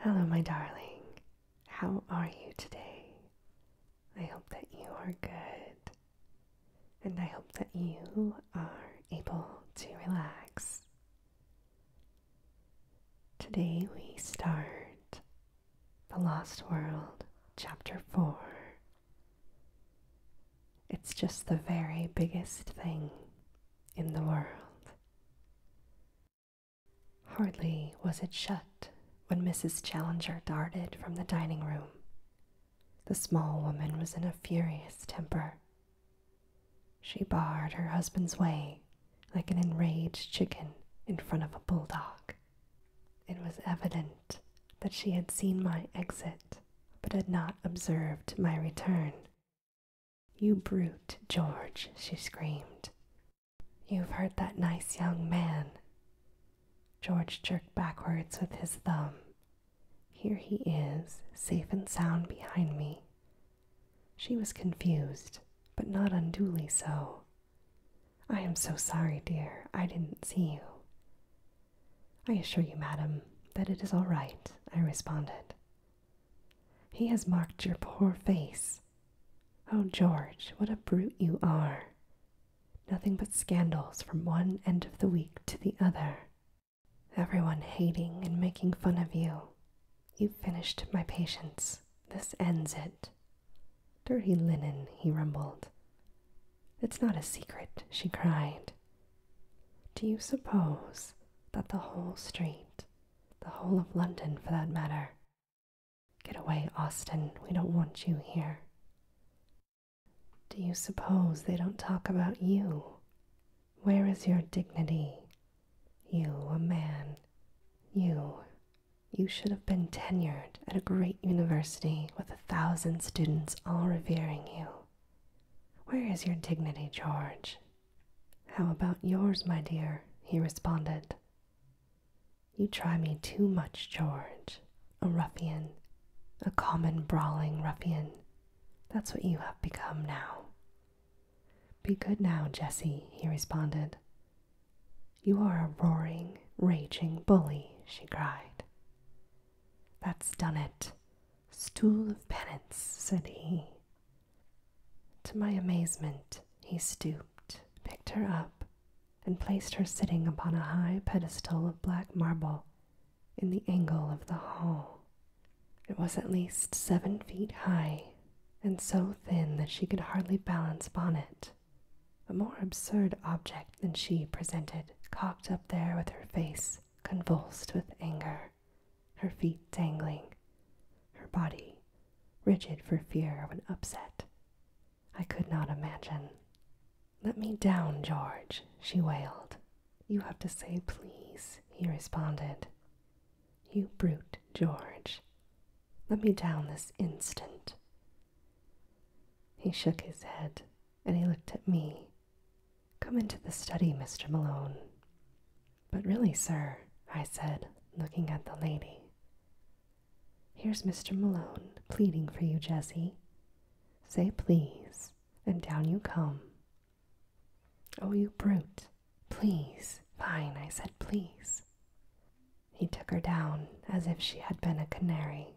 Hello, my darling. How are you today? I hope that you are good. And I hope that you are able to relax. Today we start The Lost World, Chapter 4. It's just the very biggest thing in the world. Hardly was it shut when Mrs. Challenger darted from the dining room. The small woman was in a furious temper. She barred her husband's way like an enraged chicken in front of a bulldog. It was evident that she had seen my exit, but had not observed my return. You brute, George, she screamed. You've hurt that nice young man. George jerked backwards with his thumb. Here he is, safe and sound behind me. She was confused, but not unduly so. I am so sorry, dear. I didn't see you. I assure you, madam, that it is all right, I responded. He has marked your poor face. Oh, George, what a brute you are! Nothing but scandals from one end of the week to the other. Everyone hating and making fun of you. You've finished my patience. This ends it. Dirty linen, he rumbled. It's not a secret, she cried. Do you suppose that the whole street, the whole of London for that matter, Get away, Austin. We don't want you here. Do you suppose they don't talk about you? Where is your dignity? You, a man. You. You should have been tenured at a great university with a thousand students all revering you. Where is your dignity, George? How about yours, my dear? he responded. You try me too much, George. A ruffian, a common brawling ruffian. That's what you have become now. Be good now, Jessie, he responded. You are a roaring, raging bully, she cried. That's done it. Stool of penance, said he, to my amazement, he stooped, picked her up, and placed her sitting upon a high pedestal of black marble in the angle of the hall. It was at least seven feet high, and so thin that she could hardly balance upon it. A more absurd object than she presented, cocked up there with her face convulsed with anger, her feet dangling, her body rigid for fear of an upset. I could not imagine. Let me down, George, she wailed. You have to say please, he responded. You brute, George. Let me down this instant. He shook his head and he looked at me. Come into the study, Mr. Malone. But really, sir, I said, looking at the lady, here's Mr. Malone pleading for you, Jessie. Say please, and down you come. Oh, you brute. Please. Fine, I said, please. He took her down as if she had been a canary.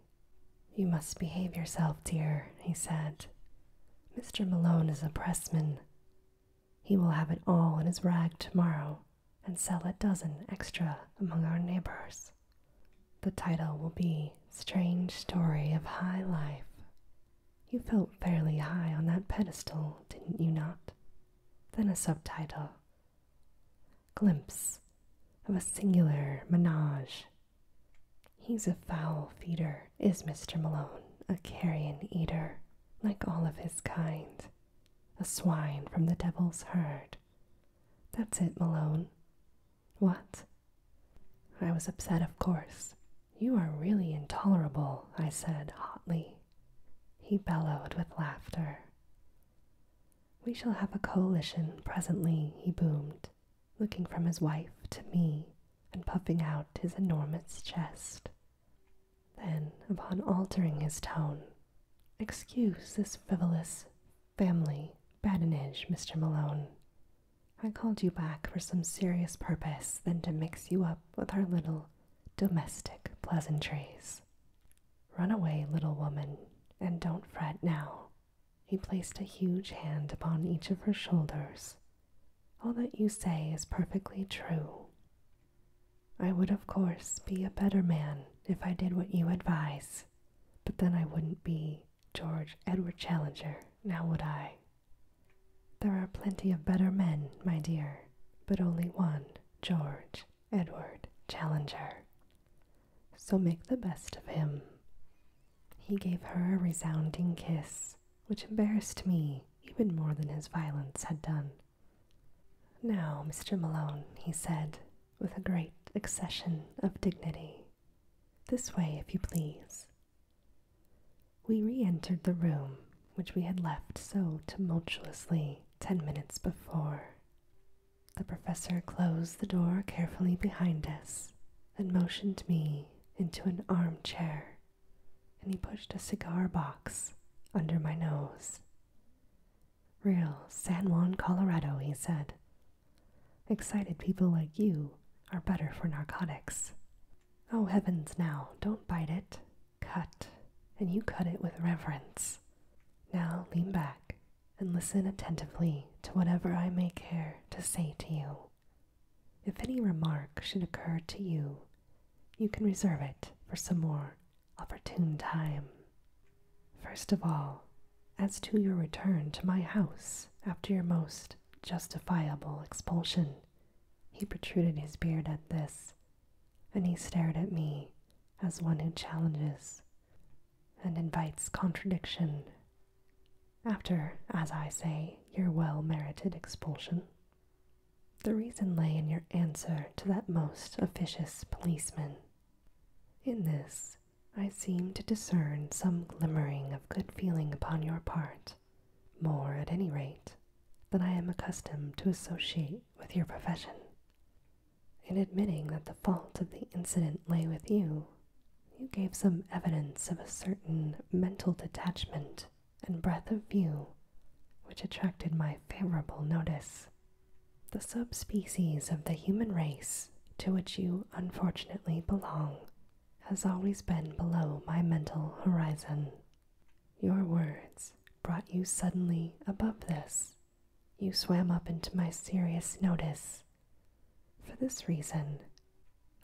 You must behave yourself, dear, he said. Mr. Malone is a pressman. He will have it all in his rag tomorrow and sell a dozen extra among our neighbors. The title will be Strange Story of High Life. You felt fairly high on that pedestal, didn't you not? Then a subtitle Glimpse of a Singular Menage. He's a foul feeder, is Mr. Malone, a carrion eater, like all of his kind. A swine from the devil's herd. That's it, Malone. What? I was upset, of course. You are really intolerable, I said hotly. He bellowed with laughter. We shall have a coalition presently, he boomed, looking from his wife to me and puffing out his enormous chest. Then, upon altering his tone, excuse this frivolous family badinage, Mr. Malone. I called you back for some serious purpose than to mix you up with our little domestic pleasantries. Run away, little woman, and don't fret now. He placed a huge hand upon each of her shoulders. All that you say is perfectly true. I would, of course, be a better man if I did what you advise, but then I wouldn't be George Edward Challenger, now would I? There are plenty of better men, my dear, but only one George Edward Challenger. So make the best of him. He gave her a resounding kiss, which embarrassed me even more than his violence had done. Now, Mr. Malone, he said, with a great accession of dignity, this way, if you please. We re entered the room which we had left so tumultuously ten minutes before. The professor closed the door carefully behind us and motioned me into an armchair, and he pushed a cigar box under my nose. Real San Juan, Colorado, he said. Excited people like you are better for narcotics. Oh heavens now, don't bite it. Cut, and you cut it with reverence. Now lean back and listen attentively to whatever I may care to say to you. If any remark should occur to you, you can reserve it for some more opportune time. First of all, as to your return to my house after your most justifiable expulsion. He protruded his beard at this, and he stared at me as one who challenges and invites contradiction. After, as I say, your well merited expulsion, the reason lay in your answer to that most officious policeman. In this, I seem to discern some glimmering of good feeling upon your part, more at any rate than I am accustomed to associate with your profession. In admitting that the fault of the incident lay with you, you gave some evidence of a certain mental detachment and breadth of view which attracted my favorable notice the subspecies of the human race to which you unfortunately belong has always been below my mental horizon. Your words brought you suddenly above this. You swam up into my serious notice. For this reason,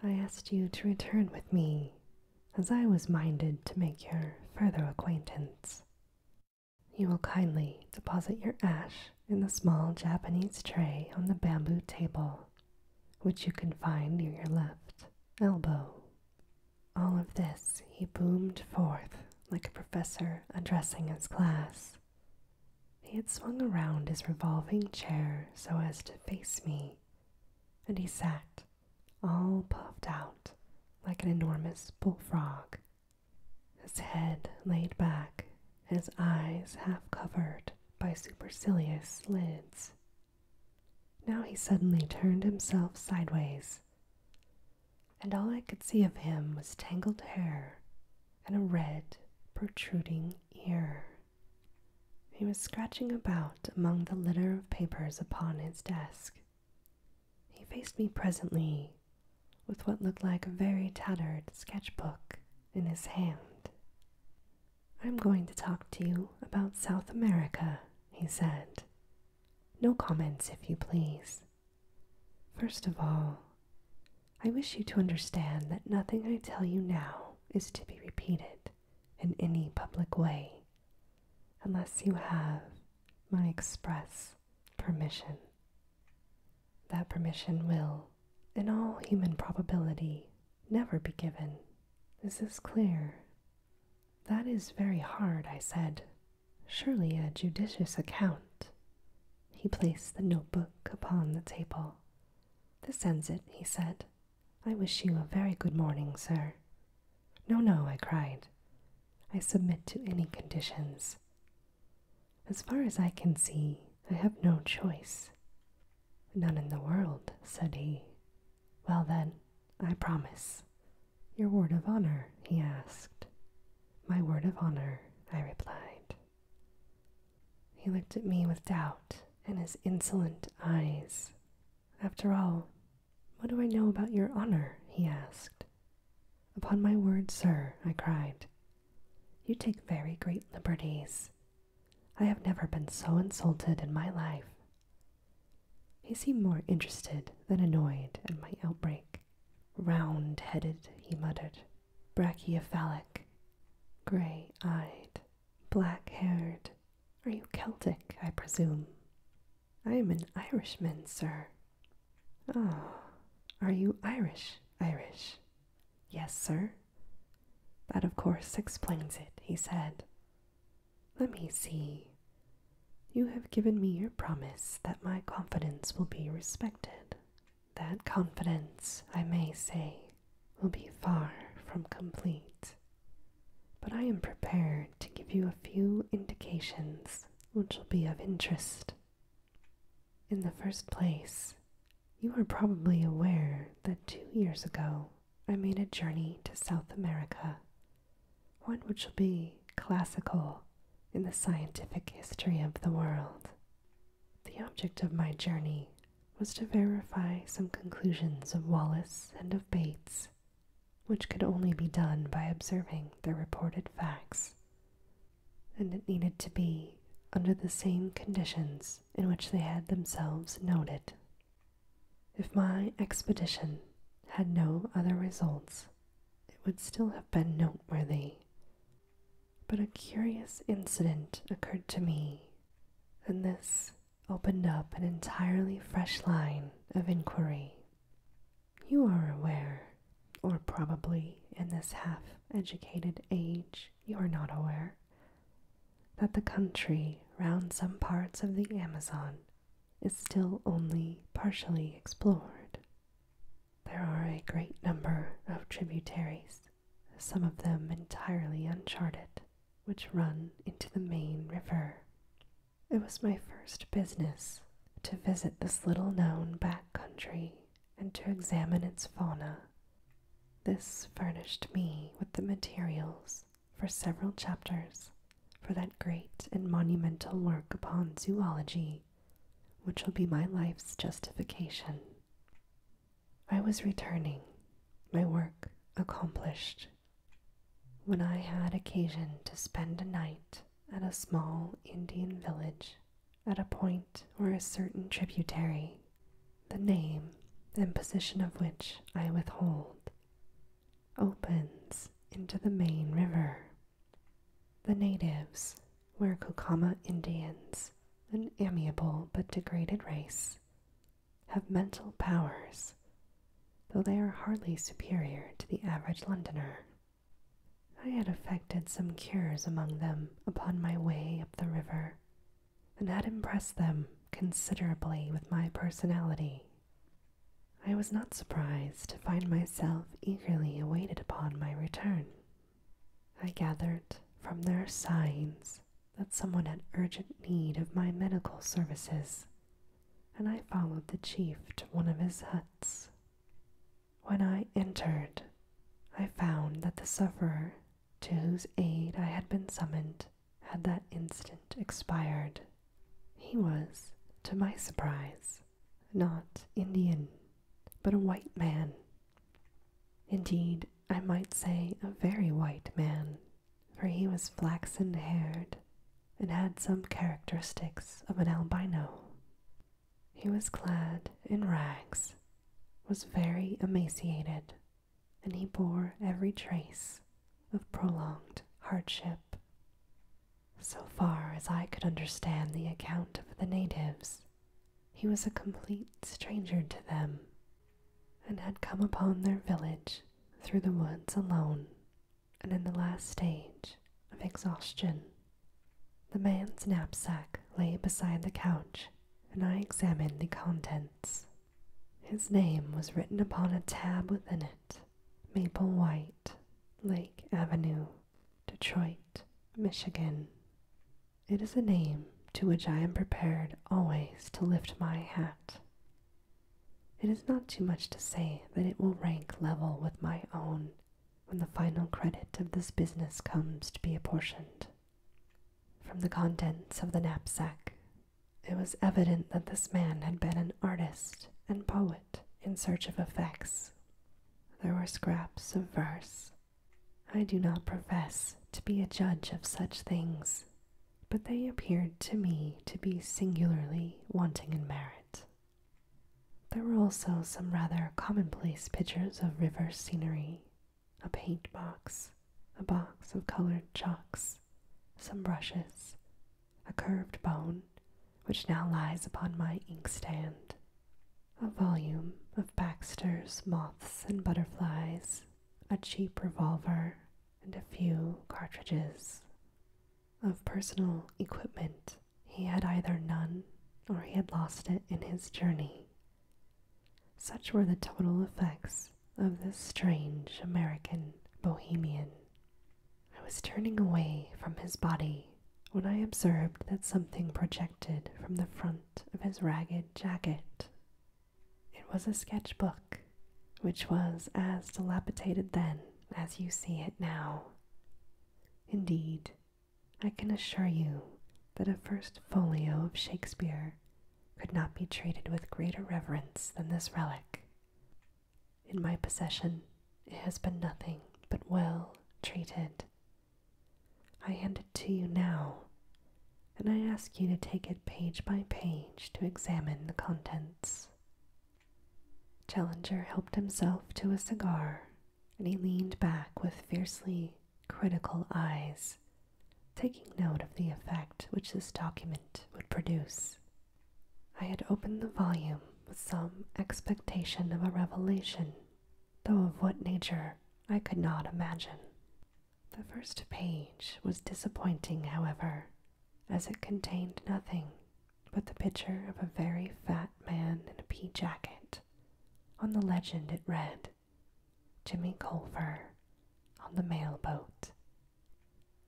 I asked you to return with me, as I was minded to make your further acquaintance. You will kindly deposit your ash in the small Japanese tray on the bamboo table, which you can find near your left elbow. All of this he boomed forth like a professor addressing his class. He had swung around his revolving chair so as to face me, and he sat, all puffed out, like an enormous bullfrog, his head laid back, his eyes half covered by supercilious lids. Now he suddenly turned himself sideways, and all I could see of him was tangled hair and a red, protruding ear. He was scratching about among the litter of papers upon his desk. He faced me presently with what looked like a very tattered sketchbook in his hand. I'm going to talk to you about South America, he said. No comments, if you please. First of all, I wish you to understand that nothing I tell you now is to be repeated in any public way, unless you have my express permission. That permission will, in all human probability, never be given. This Is clear? That is very hard, I said. Surely a judicious account. He placed the notebook upon the table. This ends it, he said. I wish you a very good morning, sir. No, no, I cried. I submit to any conditions. As far as I can see, I have no choice. None in the world, said he. Well, then, I promise. Your word of honor, he asked. My word of honor, I replied. He looked at me with doubt in his insolent eyes. After all, what do I know about your honor? he asked. Upon my word, sir, I cried, you take very great liberties. I have never been so insulted in my life. He seemed more interested than annoyed at my outbreak. Round headed, he muttered, brachycephalic, gray eyed, black haired. Are you Celtic, I presume? I am an Irishman, sir. Oh, are you Irish, Irish? Yes, sir. That, of course, explains it, he said. Let me see. You have given me your promise that my confidence will be respected. That confidence, I may say, will be far from complete. But I am prepared to give you a few indications which will be of interest in the first place, you are probably aware that two years ago I made a journey to South America, one which will be classical in the scientific history of the world. The object of my journey was to verify some conclusions of Wallace and of Bates, which could only be done by observing the reported facts and it needed to be under the same conditions in which they had themselves noted. If my expedition had no other results, it would still have been noteworthy. But a curious incident occurred to me, and this opened up an entirely fresh line of inquiry. You are aware, or probably in this half educated age, you are not aware, that the country round some parts of the Amazon is still only partially explored. There are a great number of tributaries, some of them entirely uncharted, which run into the main river. It was my first business to visit this little known back country and to examine its fauna. This furnished me with the materials for several chapters for that great and monumental work upon zoology, which will be my life's justification. I was returning, my work accomplished, when I had occasion to spend a night at a small Indian village at a point where a certain tributary, the name and position of which I withhold, opens into the main river. The natives were Kokama Indians, an amiable but degraded race, have mental powers, though they are hardly superior to the average Londoner. I had effected some cures among them upon my way up the river, and had impressed them considerably with my personality. I was not surprised to find myself eagerly awaited upon my return. I gathered from their signs that someone had urgent need of my medical services, and I followed the chief to one of his huts. When I entered, I found that the sufferer to whose aid I had been summoned had that instant expired. He was, to my surprise, not Indian, but a white man. Indeed, I might say a very white man, for he was flaxen haired and had some characteristics of an albino. He was clad in rags, was very emaciated, and he bore every trace of prolonged hardship. So far as I could understand the account of the natives, he was a complete stranger to them and had come upon their village through the woods alone and in the last stage of exhaustion. The man's knapsack lay beside the couch, and I examined the contents. His name was written upon a tab within it Maple White, Lake Avenue, Detroit, Michigan. It is a name to which I am prepared always to lift my hat. It is not too much to say that it will rank level with my own when the final credit of this business comes to be apportioned. From the contents of the knapsack, it was evident that this man had been an artist and poet in search of effects. There were scraps of verse. I do not profess to be a judge of such things, but they appeared to me to be singularly wanting in merit. There were also some rather commonplace pictures of river scenery, a paint box, a box of colored chalks, some brushes, a curved bone, which now lies upon my inkstand, a volume of Baxter's Moths and Butterflies, a cheap revolver, and a few cartridges. Of personal equipment, he had either none or he had lost it in his journey. Such were the total effects of this strange American bohemian. I was turning away from his body when I observed that something projected from the front of his ragged jacket. It was a sketchbook, which was as dilapidated then as you see it now. Indeed, I can assure you that a first folio of Shakespeare could not be treated with greater reverence than this relic. In my possession, it has been nothing but well treated. I hand it to you now, and I ask you to take it page by page to examine the contents. Challenger helped himself to a cigar and he leaned back with fiercely critical eyes, taking note of the effect which this document would produce. I had opened the volume with some expectation of a revelation, though of what nature I could not imagine. The first page was disappointing, however, as it contained nothing but the picture of a very fat man in a pea jacket on the legend it read, Jimmy Culver on the mail boat.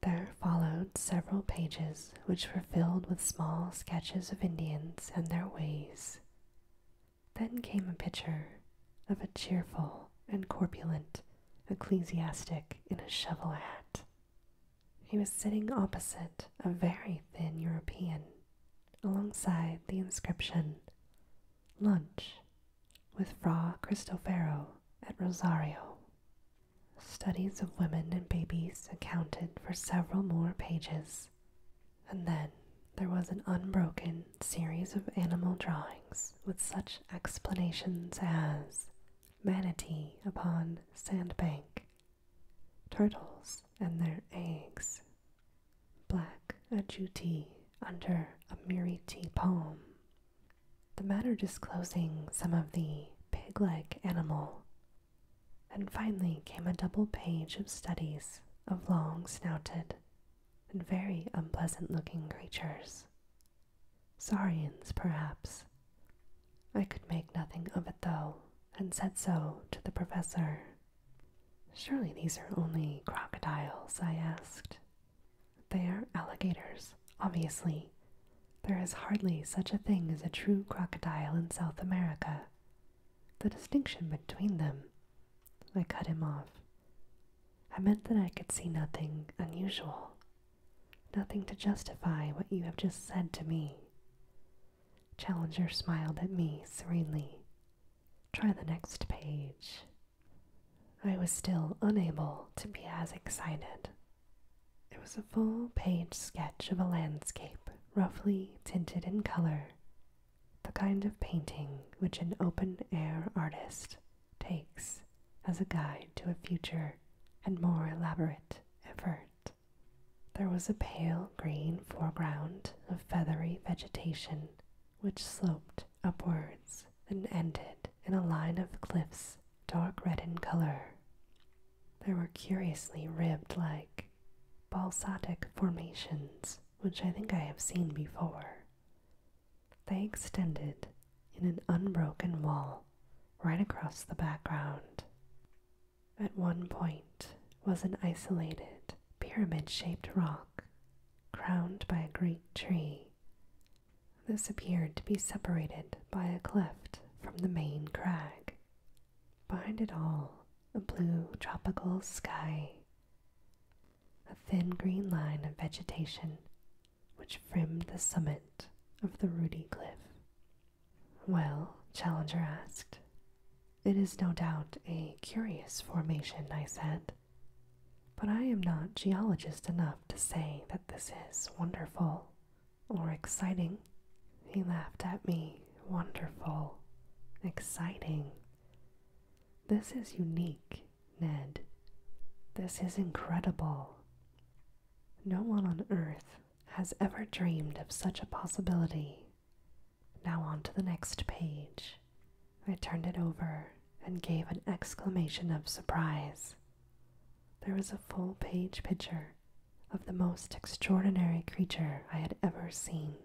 There followed several pages which were filled with small sketches of Indians and their ways. Then came a picture of a cheerful and corpulent ecclesiastic in a shovel hat. He was sitting opposite a very thin European alongside the inscription Lunch with Fra Cristofaro at Rosario. Studies of women and babies accounted for several more pages, and then there was an unbroken series of animal drawings with such explanations as manatee upon sandbank, turtles and their eggs, black ajuti under a miriti palm. The matter disclosing some of the pig like animal. And finally came a double page of studies of long snouted and very unpleasant looking creatures. Saurians, perhaps. I could make nothing of it though, and said so to the professor. Surely these are only crocodiles, I asked. They are alligators, obviously. There is hardly such a thing as a true crocodile in South America. The distinction between them. I cut him off. I meant that I could see nothing unusual, nothing to justify what you have just said to me. Challenger smiled at me serenely. Try the next page. I was still unable to be as excited. It was a full page sketch of a landscape, roughly tinted in color, the kind of painting which an open air artist takes as a guide to a future and more elaborate effort. There was a pale green foreground of feathery vegetation which sloped upwards and ended in a line of cliffs dark red in color. There were curiously ribbed like basaltic formations, which I think I have seen before. They extended in an unbroken wall right across the background at one point was an isolated pyramid shaped rock crowned by a great tree. This appeared to be separated by a cleft from the main crag. Behind it all, a blue tropical sky, a thin green line of vegetation which fringed the summit of the ruddy Cliff. Well, Challenger asked, it is no doubt a curious formation, I said, but I am not geologist enough to say that this is wonderful or exciting. He laughed at me. Wonderful. Exciting. This is unique, Ned. This is incredible. No one on earth has ever dreamed of such a possibility. Now on to the next page. I turned it over and gave an exclamation of surprise. There was a full page picture of the most extraordinary creature I had ever seen.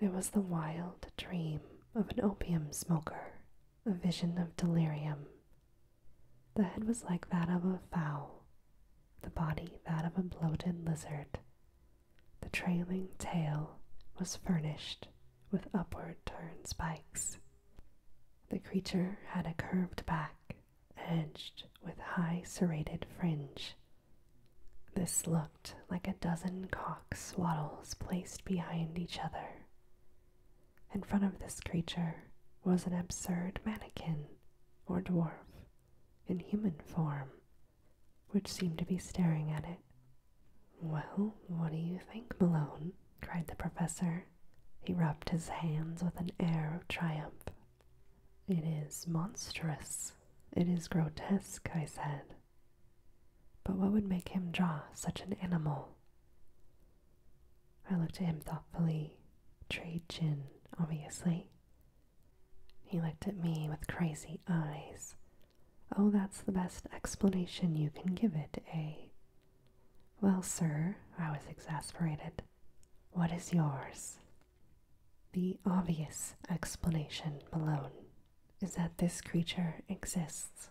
It was the wild dream of an opium smoker, a vision of delirium. The head was like that of a fowl, the body that of a bloated lizard, the trailing tail was furnished with upward turn spikes. The creature had a curved back edged with high serrated fringe. This looked like a dozen cock swaddles placed behind each other. In front of this creature was an absurd mannequin or dwarf in human form which seemed to be staring at it. Well, what do you think, Malone? cried the professor. He rubbed his hands with an air of triumph. It is monstrous. It is grotesque, I said. But what would make him draw such an animal? I looked at him thoughtfully. Trade gin, obviously. He looked at me with crazy eyes. Oh, that's the best explanation you can give it, eh? Well, sir, I was exasperated. What is yours? The obvious explanation, Malone, is that this creature exists.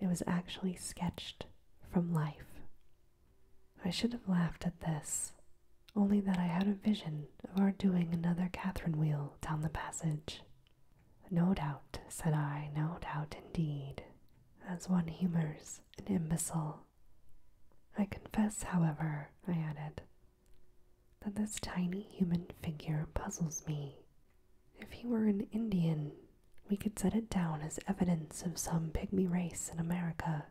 It was actually sketched from life. I should have laughed at this, only that I had a vision of our doing another Catherine wheel down the passage. No doubt, said I, no doubt indeed, as one humours an imbecile. I confess, however, I added, that this tiny human figure puzzles me. If he were an Indian, we could set it down as evidence of some pygmy race in America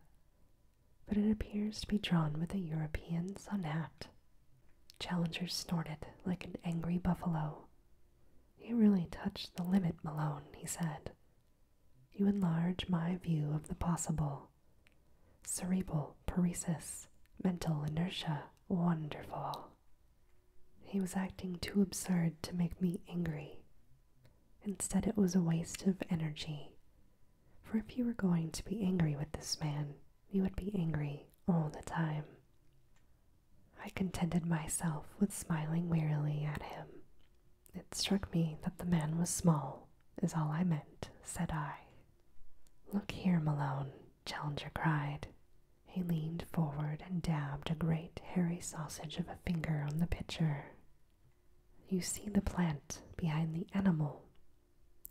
but it appears to be drawn with a European sun Challenger snorted like an angry buffalo. You really touched the limit, Malone, he said. You enlarge my view of the possible. Cerebral paresis, mental inertia, wonderful. He was acting too absurd to make me angry. Instead, it was a waste of energy. For if you were going to be angry with this man, we would be angry all the time. I contented myself with smiling wearily at him. It struck me that the man was small, is all I meant, said I. Look here, Malone, Challenger cried. He leaned forward and dabbed a great hairy sausage of a finger on the pitcher. You see the plant behind the animal,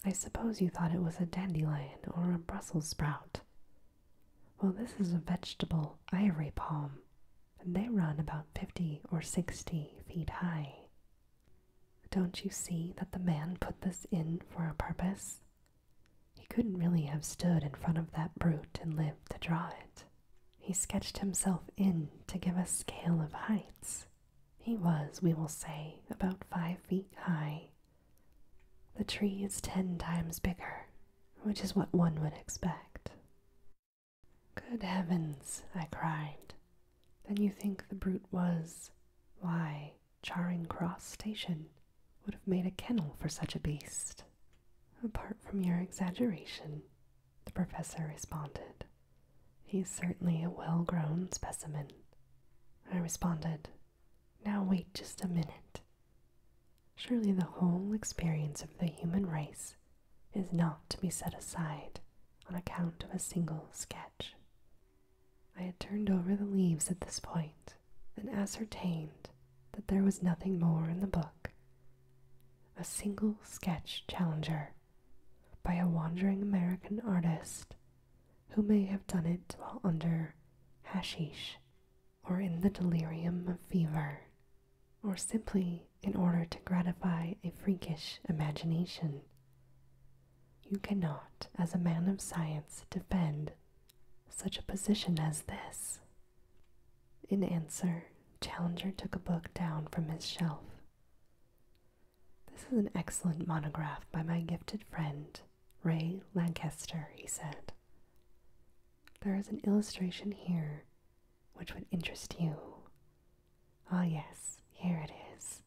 I suppose you thought it was a dandelion or a Brussels sprout. Well, this is a vegetable ivory palm, and they run about fifty or sixty feet high. Don't you see that the man put this in for a purpose? He couldn't really have stood in front of that brute and lived to draw it. He sketched himself in to give a scale of heights. He was, we will say, about five feet high. The tree is ten times bigger, which is what one would expect. Good heavens, I cried. Then you think the brute was. Why, Charing Cross Station would have made a kennel for such a beast. Apart from your exaggeration, the professor responded. He's certainly a well grown specimen, I responded, Now wait just a minute. Surely the whole experience of the human race is not to be set aside on account of a single sketch. I had turned over the leaves at this point and ascertained that there was nothing more in the book. A single sketch challenger by a wandering American artist who may have done it while under hashish or in the delirium of fever, or simply in order to gratify a freakish imagination. You cannot, as a man of science, defend such a position as this. In answer, Challenger took a book down from his shelf. This is an excellent monograph by my gifted friend, Ray Lancaster, he said. There is an illustration here which would interest you. Ah, yes, here it is.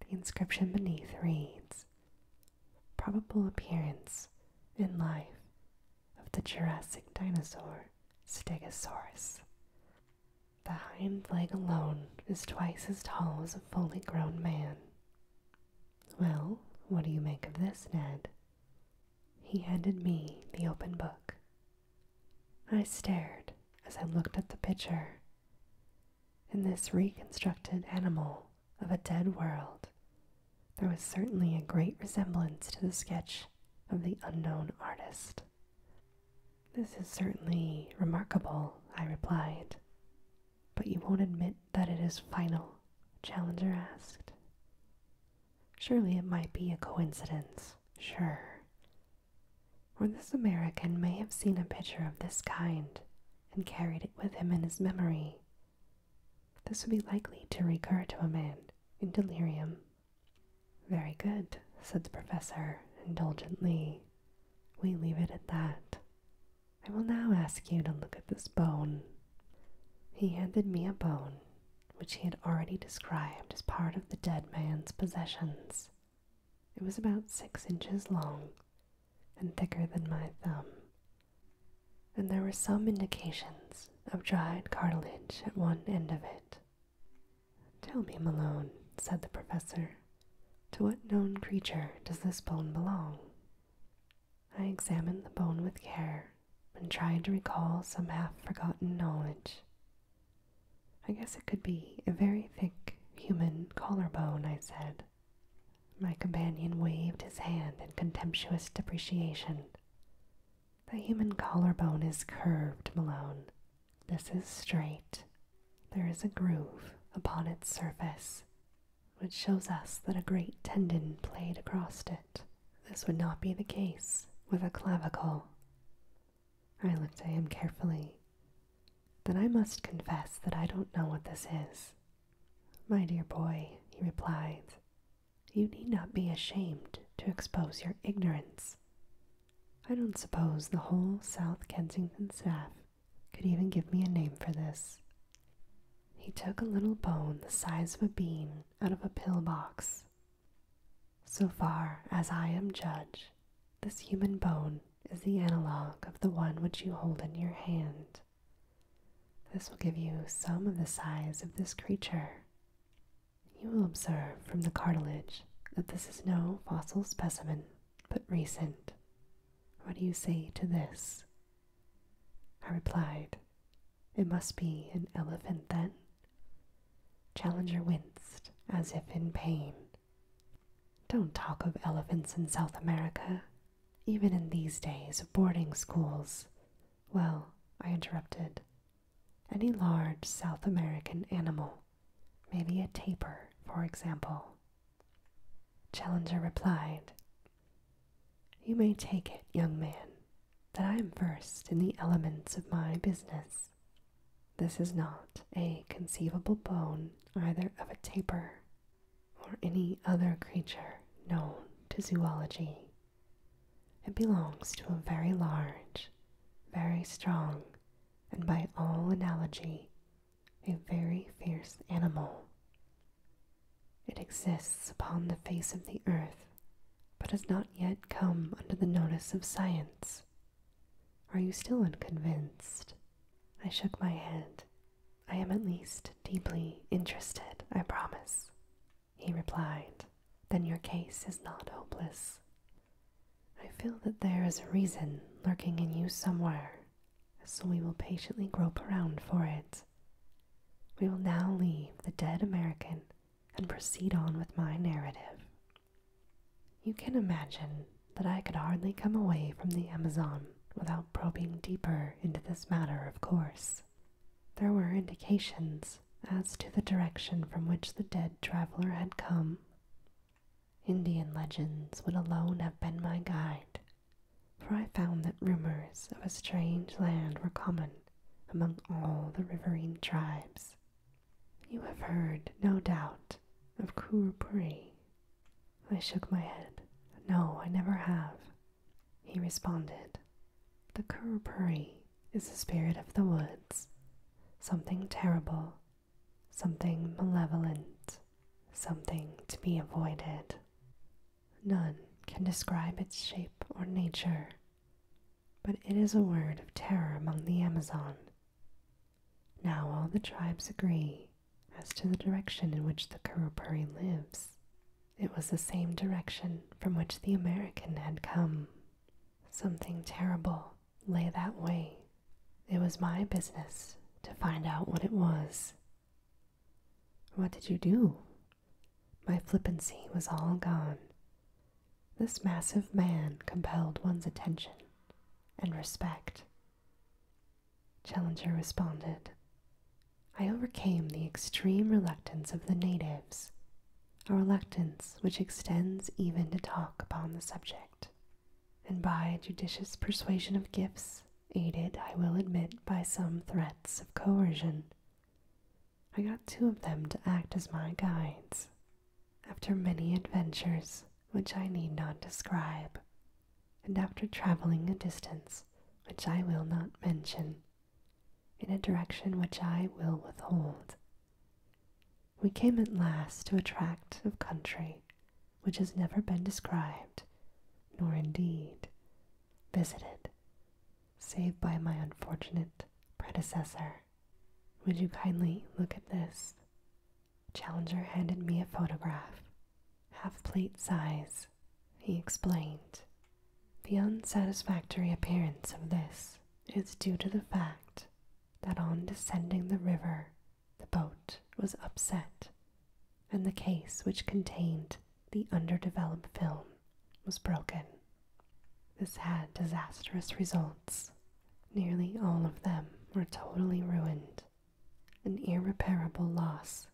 The inscription beneath reads Probable appearance in life of the Jurassic dinosaur Stegosaurus. The hind leg alone is twice as tall as a fully grown man. Well, what do you make of this, Ned? He handed me the open book. I stared as I looked at the picture. In this reconstructed animal of a dead world, there was certainly a great resemblance to the sketch of the unknown artist. This is certainly remarkable, I replied. But you won't admit that it is final, Challenger asked. Surely it might be a coincidence, sure. Or this American may have seen a picture of this kind and carried it with him in his memory. This would be likely to recur to a man in delirium. Very good, said the professor indulgently. We leave it at that. I will now ask you to look at this bone. He handed me a bone, which he had already described as part of the dead man's possessions. It was about six inches long and thicker than my thumb, and there were some indications of dried cartilage at one end of it. Tell me, Malone, said the professor, to what known creature does this bone belong? I examined the bone with care and tried to recall some half forgotten knowledge. I guess it could be a very thick human collar bone. I said. My companion waved his hand in contemptuous depreciation. The human collar bone is curved, Malone. This is straight. There is a groove upon its surface, which shows us that a great tendon played across it. This would not be the case with a clavicle. I looked at him carefully. Then I must confess that I don't know what this is. My dear boy, he replied, you need not be ashamed to expose your ignorance. I don't suppose the whole South Kensington staff could even give me a name for this. He took a little bone the size of a bean out of a pill box. So far as I am judge, this human bone is the analog of the one which you hold in your hand. This will give you some of the size of this creature. You will observe from the cartilage that this is no fossil specimen, but recent, what do you say to this? I replied, It must be an elephant then. Challenger winced as if in pain. Don't talk of elephants in South America, even in these days of boarding schools. Well, I interrupted. Any large South American animal, maybe a tapir, for example, Challenger replied, You may take it, young man, that I am versed in the elements of my business. This is not a conceivable bone either of a tapir or any other creature known to zoology. It belongs to a very large, very strong, and by all analogy, a very fierce animal. It exists upon the face of the earth, but has not yet come under the notice of science. Are you still unconvinced? I shook my head. I am at least deeply interested, I promise. He replied, Then your case is not hopeless. I feel that there is a reason lurking in you somewhere, so we will patiently grope around for it. We will now leave the dead American and proceed on with my narrative. You can imagine that I could hardly come away from the Amazon without probing deeper into this matter, of course. There were indications as to the direction from which the dead traveler had come. Indian legends would alone have been my guide for I found that rumors of a strange land were common among all the riverine tribes. You have heard, no doubt, of Kurupuri. I shook my head. No, I never have. He responded, The Kurupuri is the spirit of the woods, something terrible, something malevolent, something to be avoided. None can describe its shape or nature, but it is a word of terror among the Amazon. Now all the tribes agree as to the direction in which the Karupari lives. It was the same direction from which the American had come. Something terrible lay that way. It was my business to find out what it was what did you do? My flippancy was all gone. This massive man compelled one's attention and respect. Challenger responded. I overcame the extreme reluctance of the natives, a reluctance which extends even to talk upon the subject, and by judicious persuasion of gifts aided, I will admit, by some threats of coercion. I got two of them to act as my guides, after many adventures which I need not describe, and after traveling a distance which I will not mention, in a direction which I will withhold. We came at last to a tract of country which has never been described, nor indeed visited, save by my unfortunate predecessor. Would you kindly look at this? Challenger handed me a photograph, half plate size, he explained. The unsatisfactory appearance of this is due to the fact that on descending the river the boat was upset, and the case which contained the underdeveloped film was broken. This had disastrous results. Nearly all of them were totally ruined, an irreparable loss.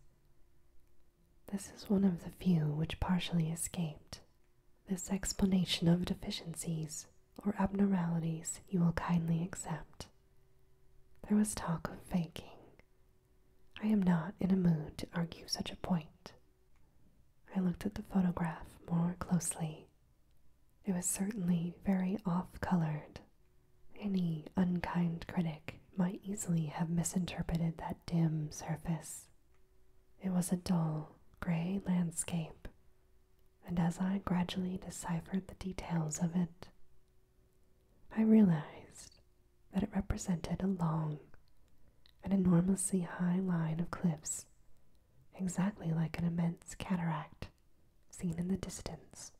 This is one of the few which partially escaped. This explanation of deficiencies or abnormalities you will kindly accept. There was talk of faking, I am not in a mood to argue such a point. I looked at the photograph more closely. It was certainly very off colored. Any unkind critic might easily have misinterpreted that dim surface. It was a dull, gray landscape, and as I gradually deciphered the details of it, I realized that it represented a long an enormously high line of cliffs, exactly like an immense cataract seen in the distance.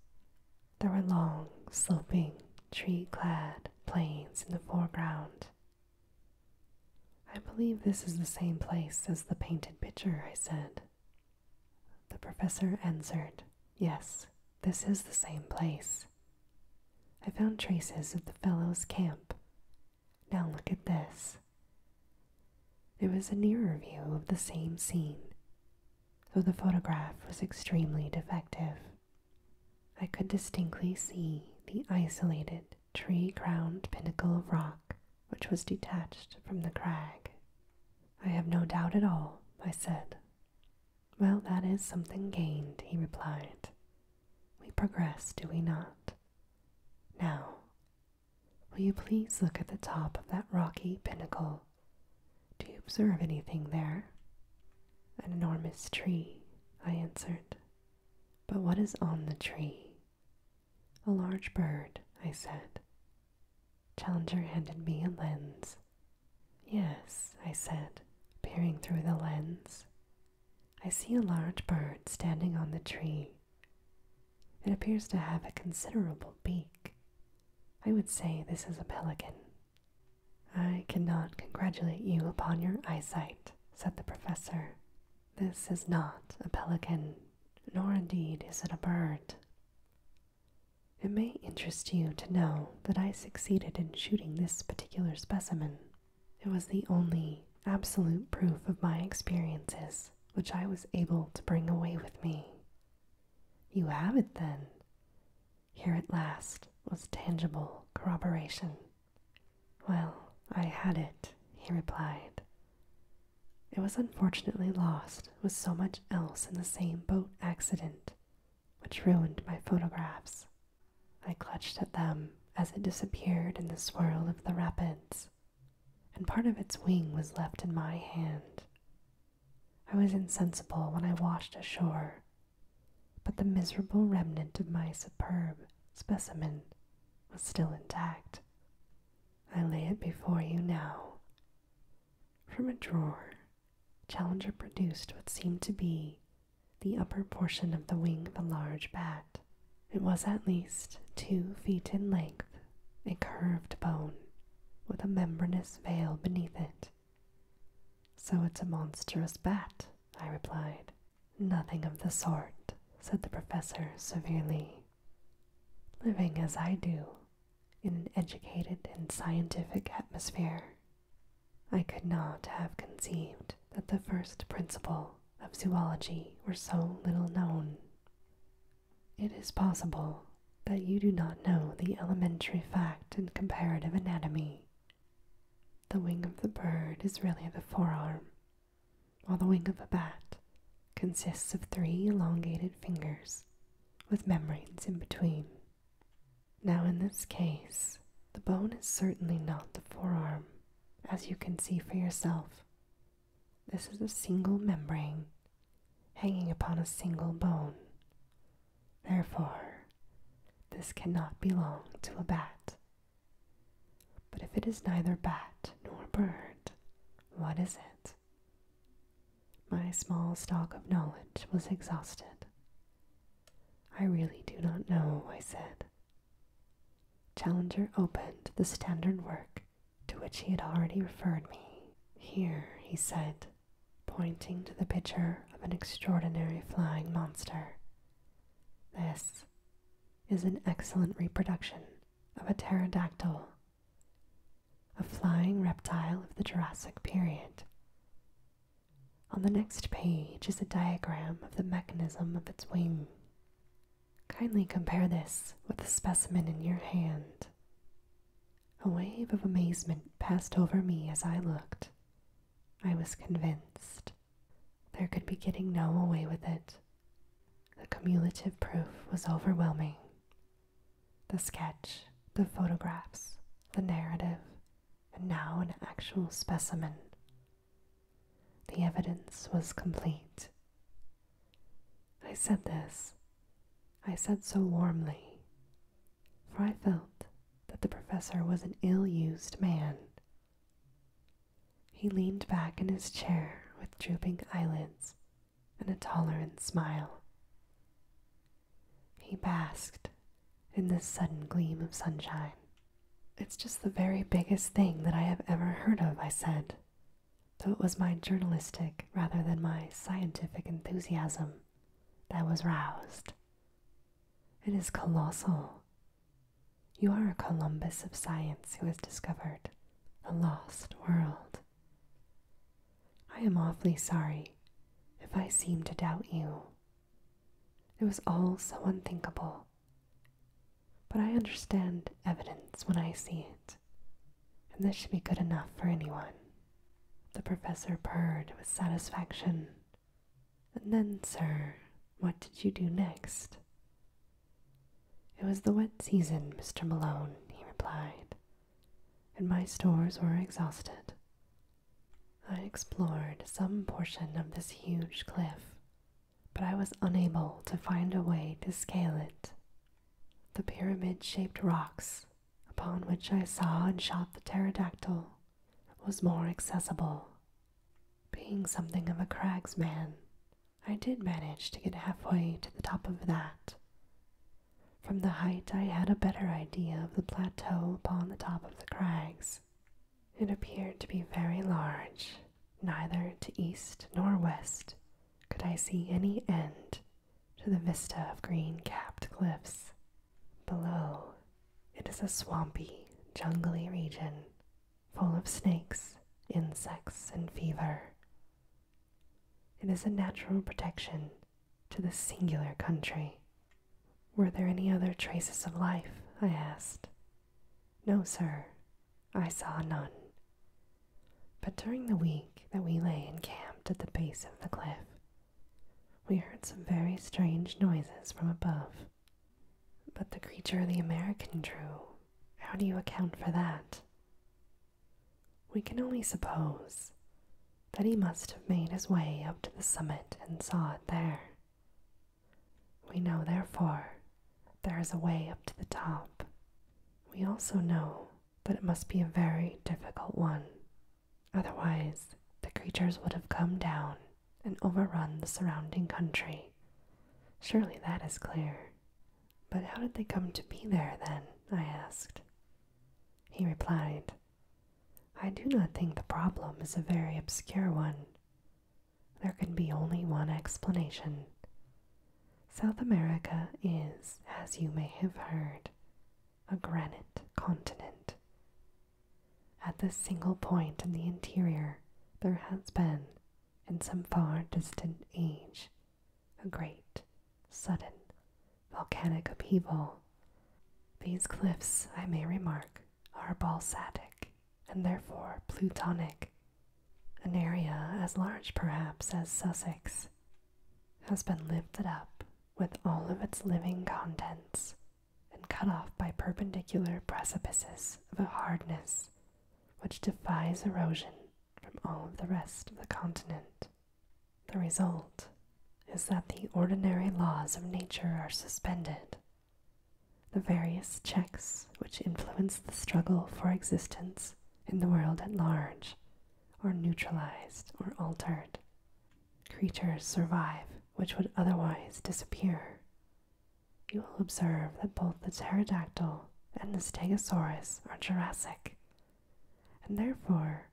There were long, sloping, tree clad plains in the foreground. I believe this is the same place as the painted picture, I said. The professor answered, Yes, this is the same place. I found traces of the fellow's camp. Now look at this. It was a nearer view of the same scene, though the photograph was extremely defective. I could distinctly see the isolated tree crowned pinnacle of rock which was detached from the crag. I have no doubt at all, I said. Well, that is something gained, he replied. We progress, do we not? Now, will you please look at the top of that rocky pinnacle? Do you observe anything there? An enormous tree, I answered. But what is on the tree? A large bird, I said. Challenger handed me a lens Yes, I said, peering through the lens. I see a large bird standing on the tree. It appears to have a considerable beak. I would say this is a pelican. I cannot congratulate you upon your eyesight, said the professor. This is not a pelican, nor indeed is it a bird. It may interest you to know that I succeeded in shooting this particular specimen. It was the only absolute proof of my experiences which I was able to bring away with me. You have it then. Here at last was tangible corroboration. Well, I had it, he replied. It was unfortunately lost with so much else in the same boat accident which ruined my photographs. I clutched at them as it disappeared in the swirl of the rapids, and part of its wing was left in my hand. I was insensible when I washed ashore, but the miserable remnant of my superb specimen was still intact. I lay it before you now. From a drawer Challenger produced what seemed to be the upper portion of the wing of a large bat. It was at least two feet in length, a curved bone, with a membranous veil beneath it. So it's a monstrous bat, I replied. Nothing of the sort, said the professor severely. Living as I do, in an educated and scientific atmosphere, I could not have conceived that the first principle of zoology were so little known. It is possible that you do not know the elementary fact in comparative anatomy. The wing of the bird is really the forearm, while the wing of a bat consists of three elongated fingers with membranes in between. Now, in this case, the bone is certainly not the forearm, as you can see for yourself. This is a single membrane hanging upon a single bone. Therefore, this cannot belong to a bat. But if it is neither bat nor bird, what is it? My small stock of knowledge was exhausted. I really do not know, I said. Challenger opened the standard work to which he had already referred me. Here, he said, pointing to the picture of an extraordinary flying monster. This is an excellent reproduction of a pterodactyl, a flying reptile of the Jurassic period. On the next page is a diagram of the mechanism of its wing. Kindly compare this with the specimen in your hand. A wave of amazement passed over me as I looked. I was convinced. There could be getting no away with it. The cumulative proof was overwhelming. The sketch, the photographs, the narrative, and now an actual specimen. The evidence was complete. I said this, I said so warmly, for I felt that the professor was an ill used man. He leaned back in his chair with drooping eyelids and a tolerant smile. He basked in this sudden gleam of sunshine. It's just the very biggest thing that I have ever heard of, I said, though it was my journalistic rather than my scientific enthusiasm that was roused. It is colossal. You are a Columbus of science who has discovered a lost world. I am awfully sorry if I seem to doubt you. It was all so unthinkable. But I understand evidence when I see it, and this should be good enough for anyone. The professor purred with satisfaction. And then, sir, what did you do next? It was the wet season, Mr. Malone, he replied, and my stores were exhausted. I explored some portion of this huge cliff, but I was unable to find a way to scale it. The pyramid shaped rocks upon which I saw and shot the pterodactyl was more accessible. Being something of a cragsman, I did manage to get halfway to the top of that. From the height, I had a better idea of the plateau upon the top of the crags. It appeared to be very large. Neither to east nor west could I see any end to the vista of green capped cliffs. Below, it is a swampy, jungly region full of snakes, insects, and fever. It is a natural protection to this singular country, were there any other traces of life? I asked. No, sir, I saw none. But during the week that we lay encamped at the base of the cliff, we heard some very strange noises from above. But the creature the American drew, how do you account for that? We can only suppose that he must have made his way up to the summit and saw it there. We know, therefore, there is a way up to the top. We also know that it must be a very difficult one. Otherwise, the creatures would have come down and overrun the surrounding country. Surely that is clear. But how did they come to be there then? I asked. He replied, I do not think the problem is a very obscure one. There can be only one explanation. South America is, as you may have heard, a granite continent. At this single point in the interior, there has been, in some far distant age, a great, sudden, volcanic upheaval. These cliffs, I may remark, are balsatic and therefore plutonic. An area as large perhaps as Sussex has been lifted up with all of its living contents and cut off by perpendicular precipices of a hardness which defies erosion from all of the rest of the continent. The result is that the ordinary laws of nature are suspended the various checks which influence the struggle for existence in the world at large are neutralized or altered. Creatures survive which would otherwise disappear. You will observe that both the pterodactyl and the stegosaurus are Jurassic, and therefore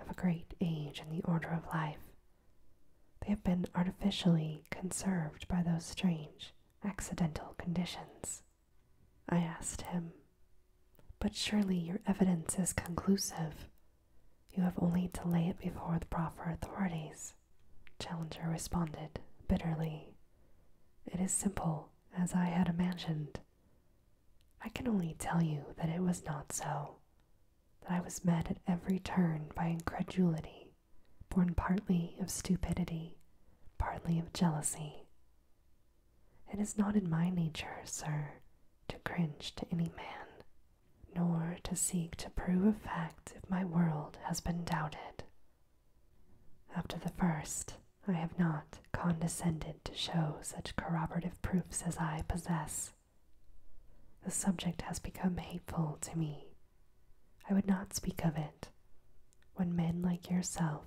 of a great age in the order of life they have been artificially conserved by those strange, accidental conditions. I asked him, But surely your evidence is conclusive. You have only to lay it before the proper authorities. Challenger responded bitterly. It is simple, as I had imagined. I can only tell you that it was not so that I was met at every turn by incredulity, born partly of stupidity, partly of jealousy. It is not in my nature, sir, to cringe to any man, nor to seek to prove a fact if my world has been doubted. After the first, I have not condescended to show such corroborative proofs as I possess. The subject has become hateful to me. I would not speak of it. When men like yourself,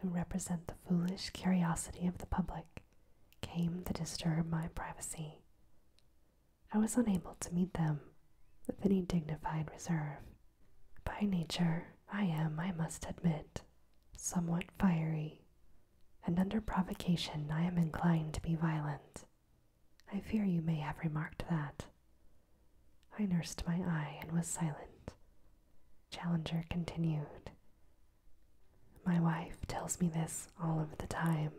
who represent the foolish curiosity of the public, came to disturb my privacy, I was unable to meet them with any dignified reserve. By nature, I am, I must admit, somewhat fiery, and under provocation I am inclined to be violent. I fear you may have remarked that. I nursed my eye and was silent. Challenger continued. My wife tells me this all of the time,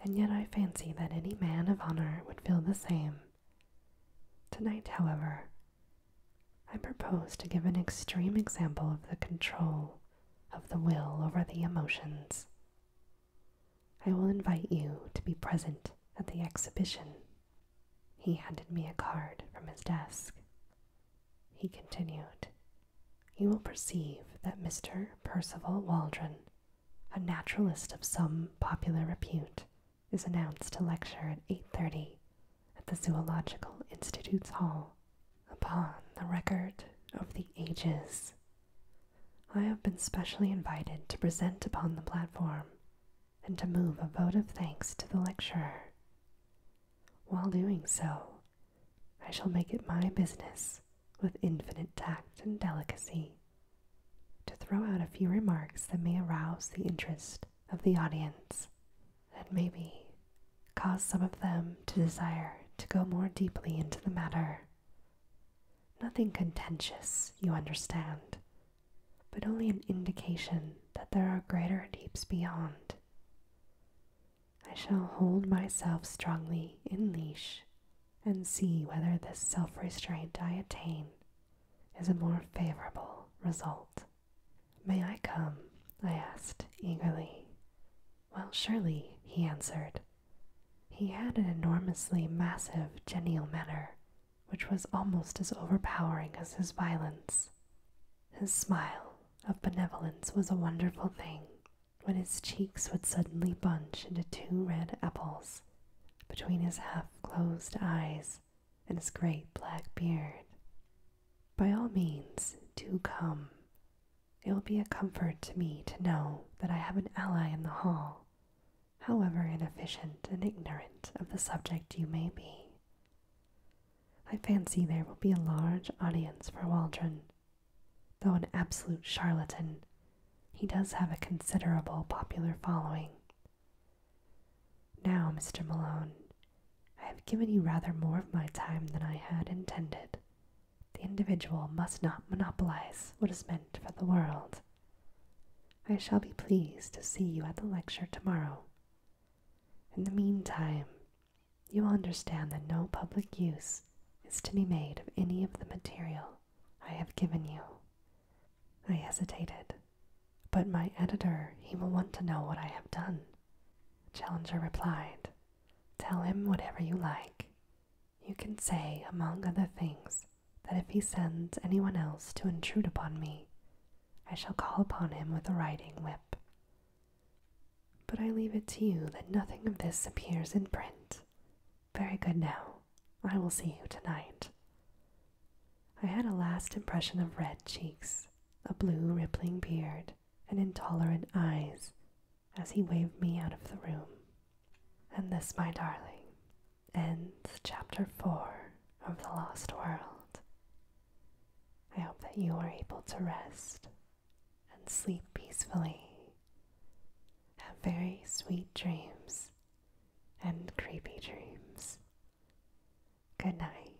and yet I fancy that any man of honor would feel the same. Tonight, however, I propose to give an extreme example of the control of the will over the emotions I will invite you to be present at the exhibition. He handed me a card from his desk. He continued, You will perceive that Mr. Percival Waldron, a naturalist of some popular repute, is announced to lecture at 8.30 at the Zoological Institute's Hall upon the record of the ages I have been specially invited to present upon the platform and to move a vote of thanks to the lecturer. While doing so, I shall make it my business, with infinite tact and delicacy, to throw out a few remarks that may arouse the interest of the audience and maybe cause some of them to desire to go more deeply into the matter Nothing contentious, you understand, but only an indication that there are greater deeps beyond. I shall hold myself strongly in leash and see whether this self restraint I attain is a more favorable result. May I come? I asked eagerly. Well, surely, he answered. He had an enormously massive, genial manner, which was almost as overpowering as his violence. His smile of benevolence was a wonderful thing, when his cheeks would suddenly bunch into two red apples between his half closed eyes and his great black beard. By all means, do come, it will be a comfort to me to know that I have an ally in the hall, however inefficient and ignorant of the subject you may be. I fancy there will be a large audience for Waldron. Though an absolute charlatan, he does have a considerable popular following. Now, Mr. Malone, I have given you rather more of my time than I had intended, the individual must not monopolize what is meant for the world. I shall be pleased to see you at the lecture tomorrow. In the meantime, you will understand that no public use is to be made of any of the material I have given you. I hesitated, but my editor, he will want to know what I have done. Challenger replied, Tell him whatever you like. You can say, among other things, that if he sends anyone else to intrude upon me, I shall call upon him with a riding whip. But I leave it to you that nothing of this appears in print. Very good now. I will see you tonight. I had a last impression of red cheeks, a blue rippling beard, and intolerant eyes, as he waved me out of the room. And this, my darling, ends chapter 4 of The Lost World. I hope that you are able to rest and sleep peacefully. Have very sweet dreams and creepy dreams. Good night.